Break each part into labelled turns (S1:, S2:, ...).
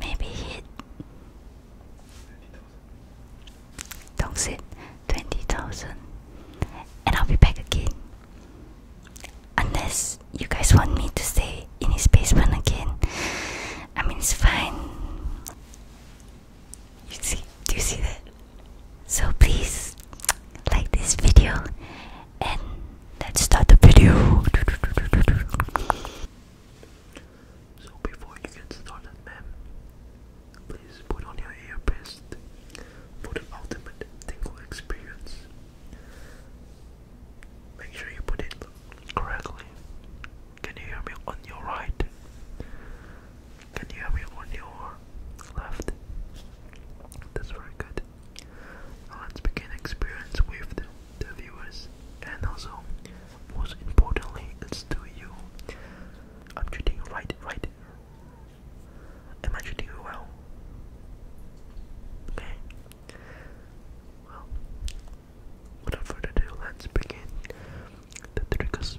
S1: Maybe hit. Don't sit. 20,000. And I'll be back again. Unless you guys want me to stay in his one again. I mean, it's fine. You see, do you see that? So please like this video let's start the video. So before you get started, ma'am, please put on your earpiece for the ultimate tingle experience.
S2: Make sure you put it correctly. Can you hear me on your right? Can you hear me on your left? That's very good let's begin experience with the, viewers and also most importantly it's to you. I'm treating you right, right. Am treating you well? Okay. Well without further ado let's begin the triggers.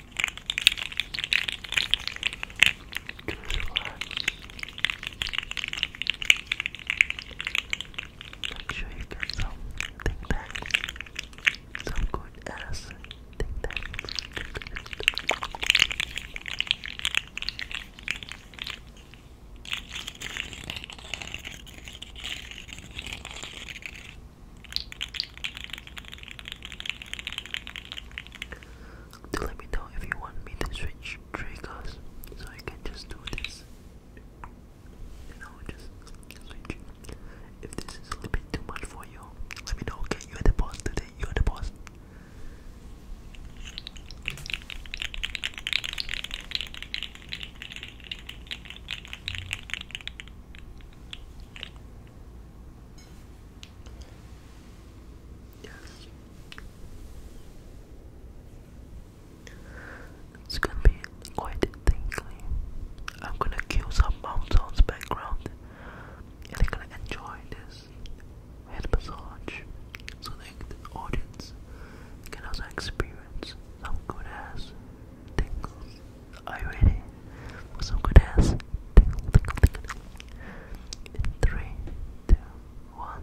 S2: Make sure you get some Tic Tacs, some good ass Tic Tacs. Do let me know if you want me to switch triggers so I can just do this. You know, just switch. If this is a little bit too much for you, let me know. Okay, you're the boss today, you're the boss. Yes. It's gonna be quite tingly. I'm gonna kill some mountains background and they're gonna enjoy this head massage so the audience can also experience some good ass tingles. Are you ready for some good ass? Tickle, three, two, one.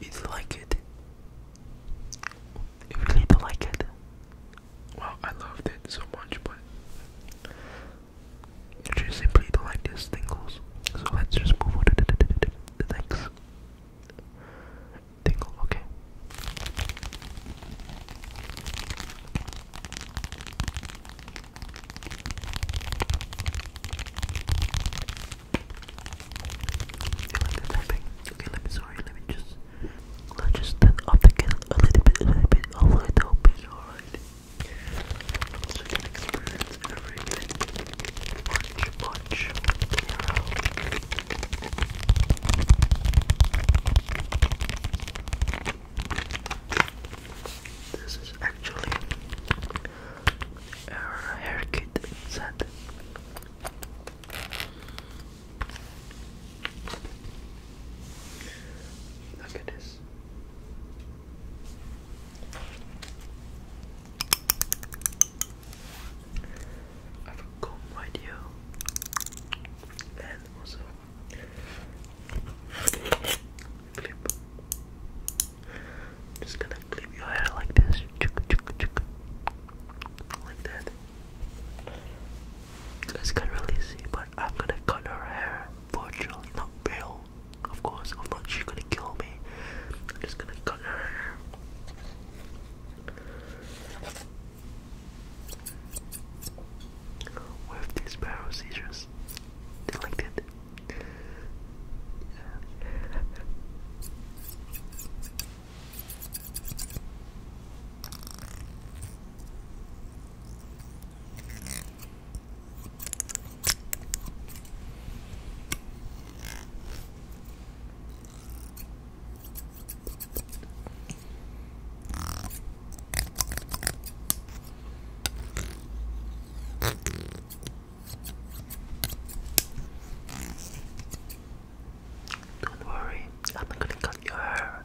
S2: It's like it. You really do like it. Well, I loved it so much, but you just simply don't tingles. So let's just move on to tingle, okay? You the typing? Okay, let me sorry, let me just Let's just turn up a little bit, a little bit, a little bit, alright? This is actually our hair kit set. Look at this. I have a comb right here, and also clip. Just gonna clip your hair like this, like that. You guys can't really see, but I'm gonna cut her hair virtually, not real, of course, I'm not, she's gonna kill me, I'm just gonna cut her hair. What these barrel seizures? They liked don't worry, I'm not gonna cut your hair.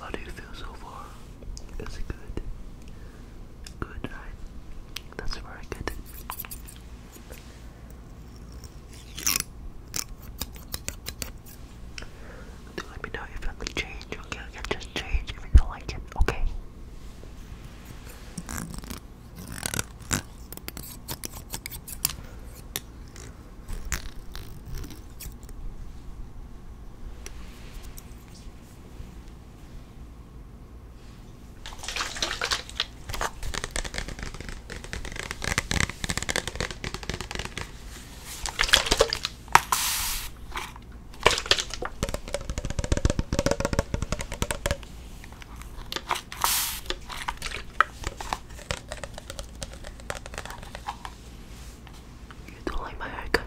S1: How do you feel so far? Is it good? Good, right? That's very good. Do let me know if I can change, okay? I just change if you do like it, okay?
S2: You don't like my haircut.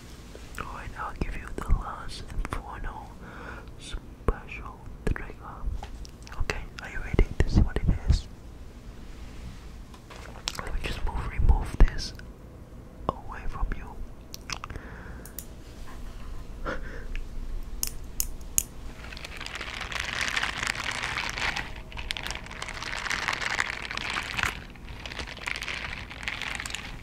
S2: Alright, I'll give you the last and final special trigger. Okay, are you ready? This is what it is. Let me just move, remove this away from you.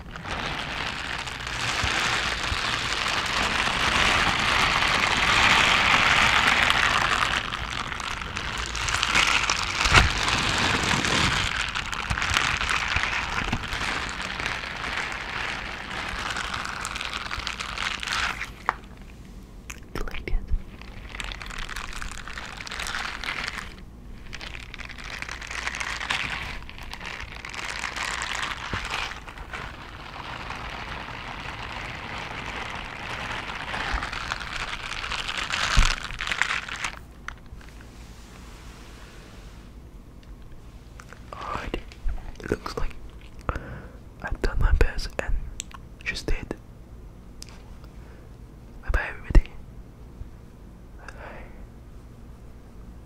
S2: Like it. Alright, it looks like I've done my best and
S1: just did. Bye everybody.